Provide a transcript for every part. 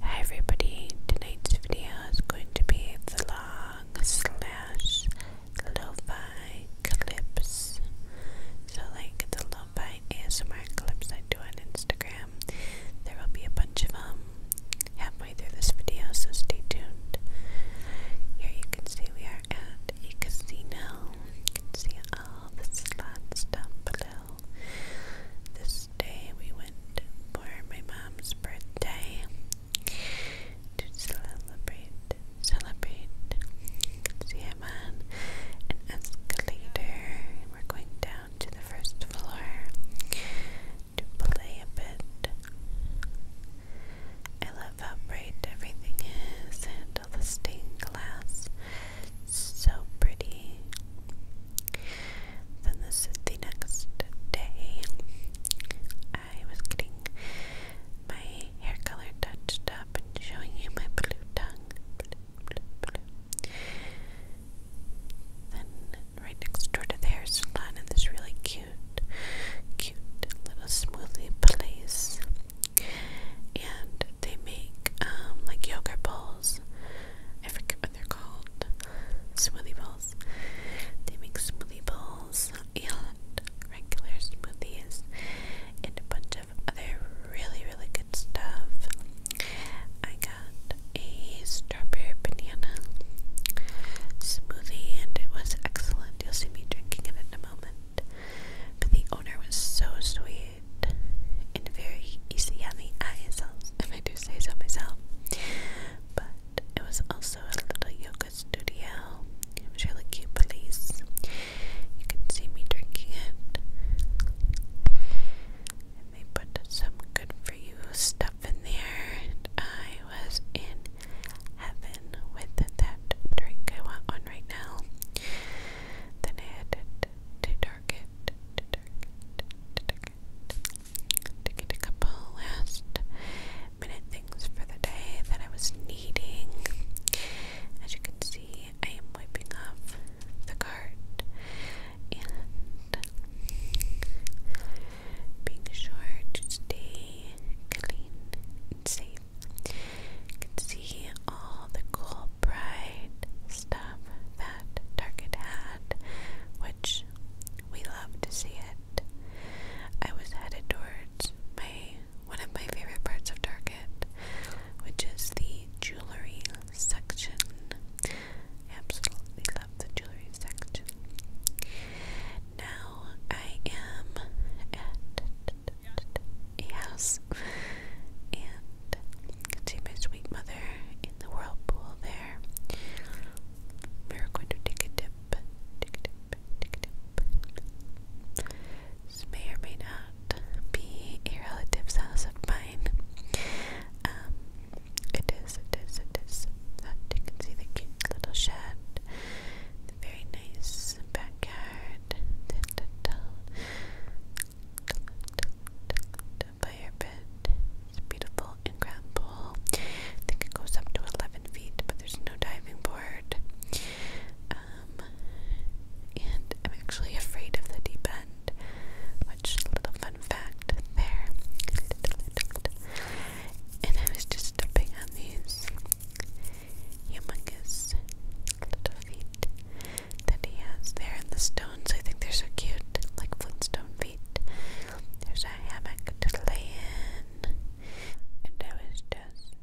Hi everybody, tonight's video is going to be the vlog slash lo clips. So like the lo-fi ASMR clips I do on Instagram. There will be a bunch of them halfway through this video, so stay tuned. Here you can see we are at a casino. You can see all the slot stuff this day we went for my mom's birthday to celebrate, celebrate. See him on an escalator. We're going down to the first floor to play a bit. I love how bright everything is and all the stained glass so pretty. Then this is the next day. I was getting my hair color touched up and showing you my blue tongue. Then right next door to the hair salon in this really cute, cute little smoothie place. And they make um, like yogurt bowls I forget what they're called. Smoothie balls. They make smoothie balls, and regular smoothies and a bunch of other really, really good stuff. I got a strawberry banana smoothie and it was excellent. You'll see me drinking it in a moment. But the owner was so sweet it in very easy on the ISLs, if I do say so myself. But it was also a little yoga studio. It was really cute place. You can see me drinking it. And they put some good for you stuff in there. And I was in heaven with that drink. I want one right now. Then I had to to get a couple last minute things for the day that I was needing. As you can see, I am wiping off the cart and being sure to stay clean and safe. You can see all the cool, bright stuff that Target had, which we love to see it. I was headed towards my one of my favorite parts of Target, which is the jewelry section. absolutely love the jewelry section. Now I am at a house and see my sweet mother in the whirlpool there. We're going to take a dip, take a dip, take a dip. This may or may not be a relative's house of mine. Um, it is, it is, it is. That you can see the cute little shed, the very nice backyard, the little fire pit is beautiful and grand pool. I think it goes up to 11 feet, but there's no diving board. Um, and I'm actually afraid of the deep end, which is a little fun fact there. And I was just stepping on these humongous little feet that he has there. And the stones, I think they're so cute, like Flintstone feet. There's a hammock to lay in. And I was just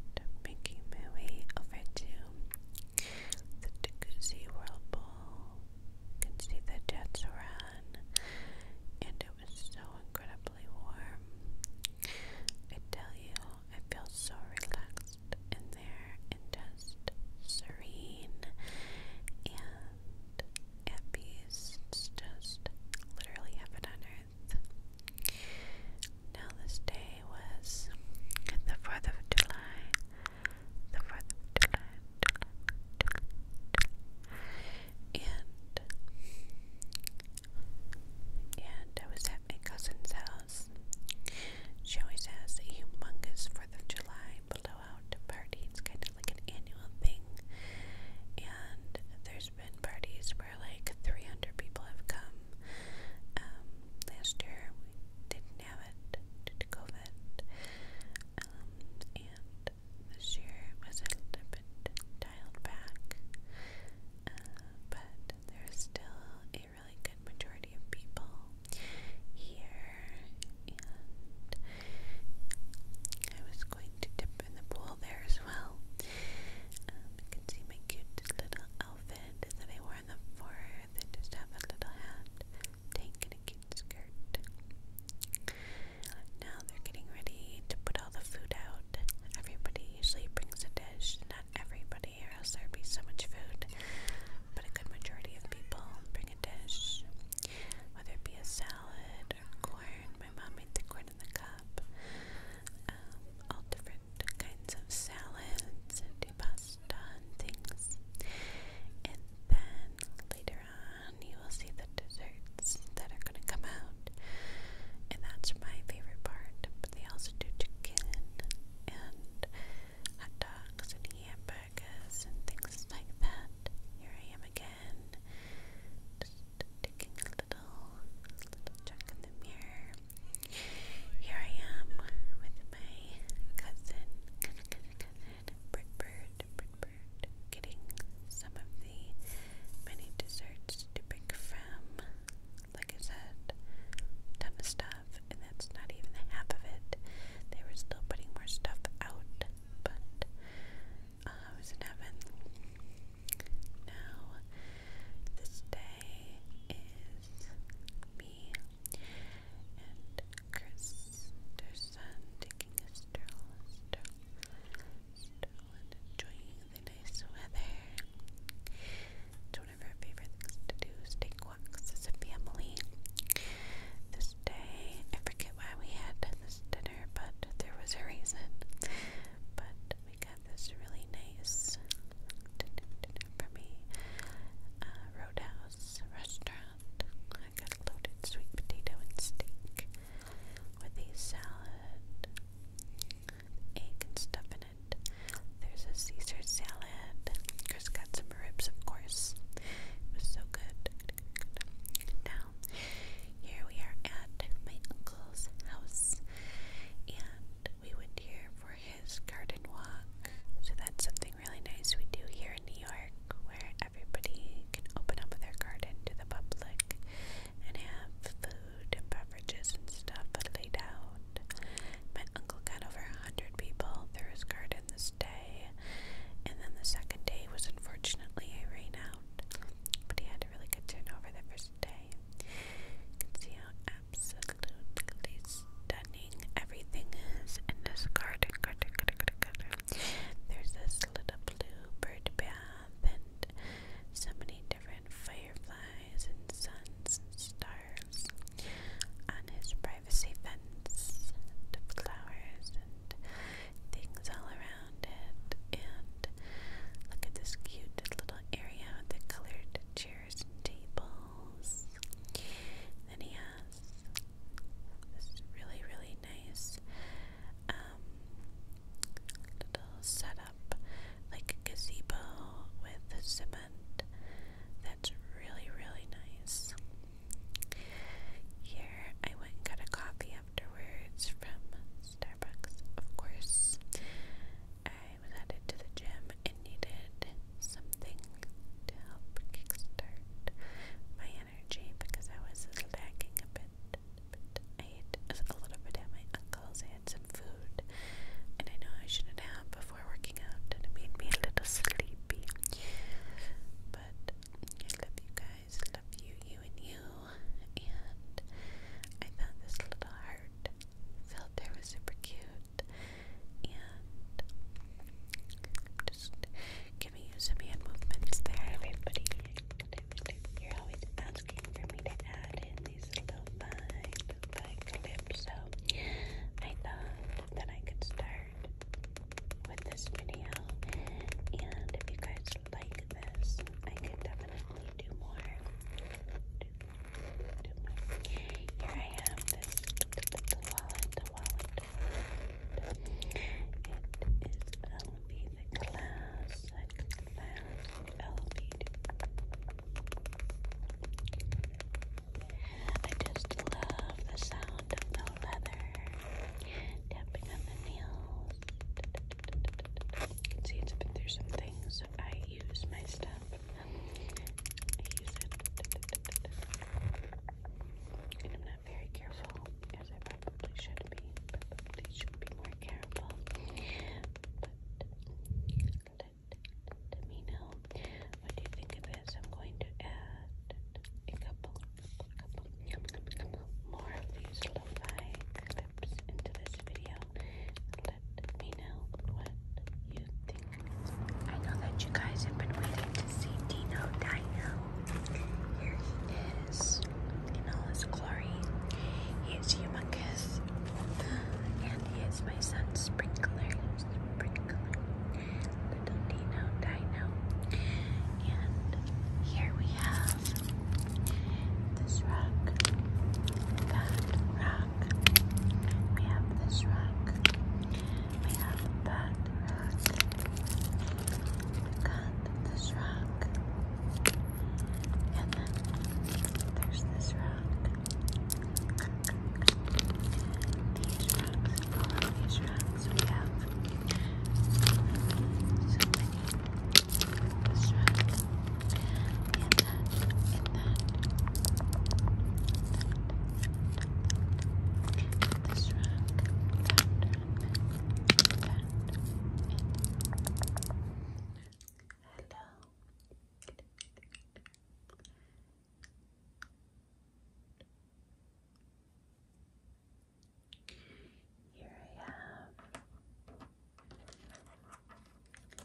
making my way over to the jacuzzi whirlpool. You can see the jets around. And it was so incredibly warm. I tell you, I feel so relaxed relaxed in there just serene and at just literally heaven on earth. Now, this day was the 4th of July. The 4th of July. And, and I was at my cousin's house she always has a humongous 4th of July blowout party. It's kind of like an annual thing. And there's been parties where like 300 people have come. Um, last year we didn't have it due to COVID. Um, and this year was a little bit dialed back. Uh, but there's still a a really good majority of people here, and I was going to dip in the pool there as well. Um, you can see my cute little outfit that I wore in the fourth. I just have a little hat, tank, and a cute skirt. Now they're getting ready to put all the food out. Everybody usually brings a dish. Not everybody, else there'd be so much food. But a good majority of people bring a dish, whether it be a salad or corn. My mom made the corn in the cup. Um, all different kinds of salads and do pasta things. And then later on, you will see the desserts that are going to come out. And that's my favorite part. But they also do chicken and hot dogs and hamburgers and things like that. Here I am again, just taking a little, little in the mirror. Here I am with my cousin, cousin, cousin, Brit getting some of the many desserts to pick from. Like I said, Tamastar and that's not even half of it. They were still putting more stuff out, uh, I was in heaven. Now, this day is me and Chris, son, taking a stroll, enjoying the nice weather one of her favorite things to do is take walks as a family. This day, I forget why we had this dinner, but there was a reason. But we got this really nice dinner, for me. Uh, restaurant. I got loaded sweet potato and steak with a salad, egg and stuff in it. There's a Caesar salad. Chris got some ribs, of course. It was so good. Now, here we are at my uncle's house, and we went here for his garden walk. So, that's something really nice we do here in New York, where everybody can open up their garden to the public and have food and beverages and stuff laid out around. My uncle got over a hundred people through his garden this day, and then the second day was unfortunately a rain out, but he had a really good turnover the first day. You can see how absolutely stunning everything is in this garden. There's this little blue bird bath and so many different fireflies and suns and stars. On his privacy fence flowers and things all around it. And look at this cute little area with the colored chairs and tables. then he has this really, really nice um, little setup, like a gazebo with a some that's really, really nice. Here, I went and got a coffee afterwards from Starbucks, of course. I was headed to the gym and needed something to help kickstart my energy because I was lacking a bit. But I ate a little bit at my uncle's. I had some food, and I know I shouldn't have before before working out and it made me a little sleepy. But I love you guys, love you, you and you. And I thought this little heart filter was super cute. And just giving you some hand movements there, everybody. You're always asking for me to add in these little vibes like so I thought that I could start with this video. And if you guys like this, I could definitely do more. Do, do more. Here I have this the wallet, the wallet. the classic, I just love the sound of the leather tapping on the nails. See, it's, there's some things I use my stuff. I use it, and I'm not very careful, as I probably should be. Probably should be more careful. Let me know what you think of this. I'm going to add a couple, couple, couple more of these lo-fi clips into this video. Let me know what you think. I know that you guys have been waiting to see Dino Dino. Here he is in all his glory. He humongous. He is my son's sprinkler. Sprinkler. Dino Dino. And here we have this rock. That rock. We have this rock. We have that rock. We got this rock. And then there's this rock. These rugs, all of these rugs we have this rug and that, and that this rug, that that and Hello. Hello. Here I have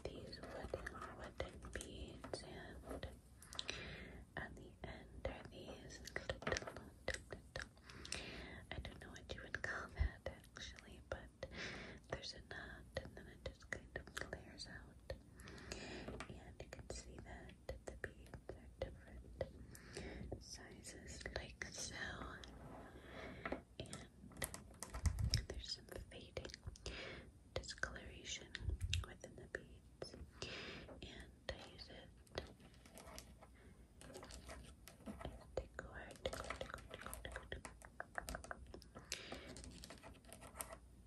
these wooden wooden beads and at the end are these I don't know what you would call that actually, but there's a knot and then it just kind of clears out and you can see that the beads are different sizes like so and there's some fading discoloration within the beads and I use it Decor, decor,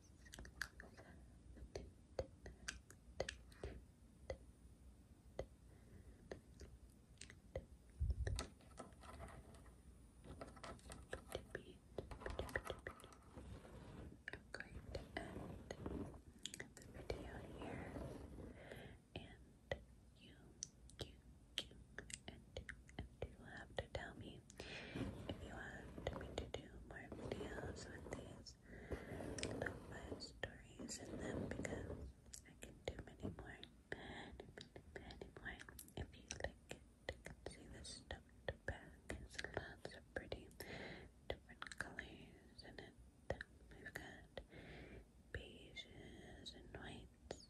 video here. And you, you, you, and you will have to tell me me. If you want me to do more videos with these lo stories in them because I can do many more, many, more. If you like it, see the stuffed bag has lots of pretty different colors in it. We've got beiges and whites,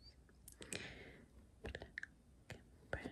black brown,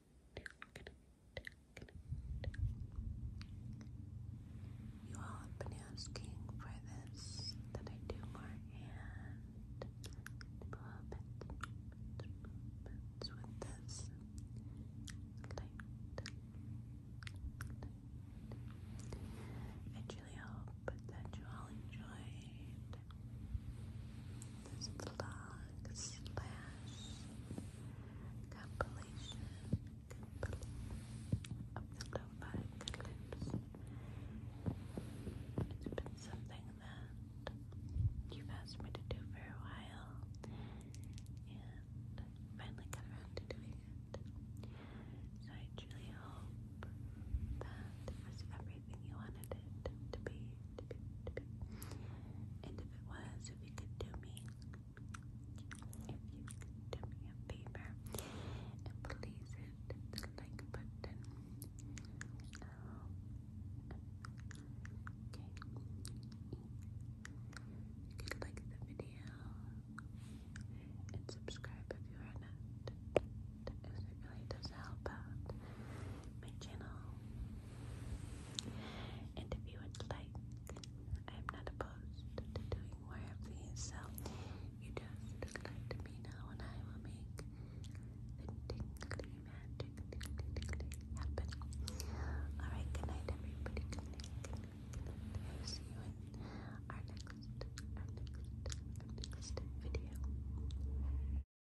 You all have been asking for this that I do more hand movements, movements with this light. I truly hope that you all enjoyed this vlog slash compilation of the lo-fi It's been something that you've asked me to do for a while, and finally got around to doing it. So I truly hope that was everything everything you wanted it to be, And if it was, if you could do me, if you could do me a favor please hit the like button. okay. You could like the video and subscribe if you are not, as it really does help out my channel. And if you would like, I am not opposed to doing more of these, so you just let me know and I will make the magic happen. Alright, good night everybody. good night. I'll see you in our next, our next, our next video.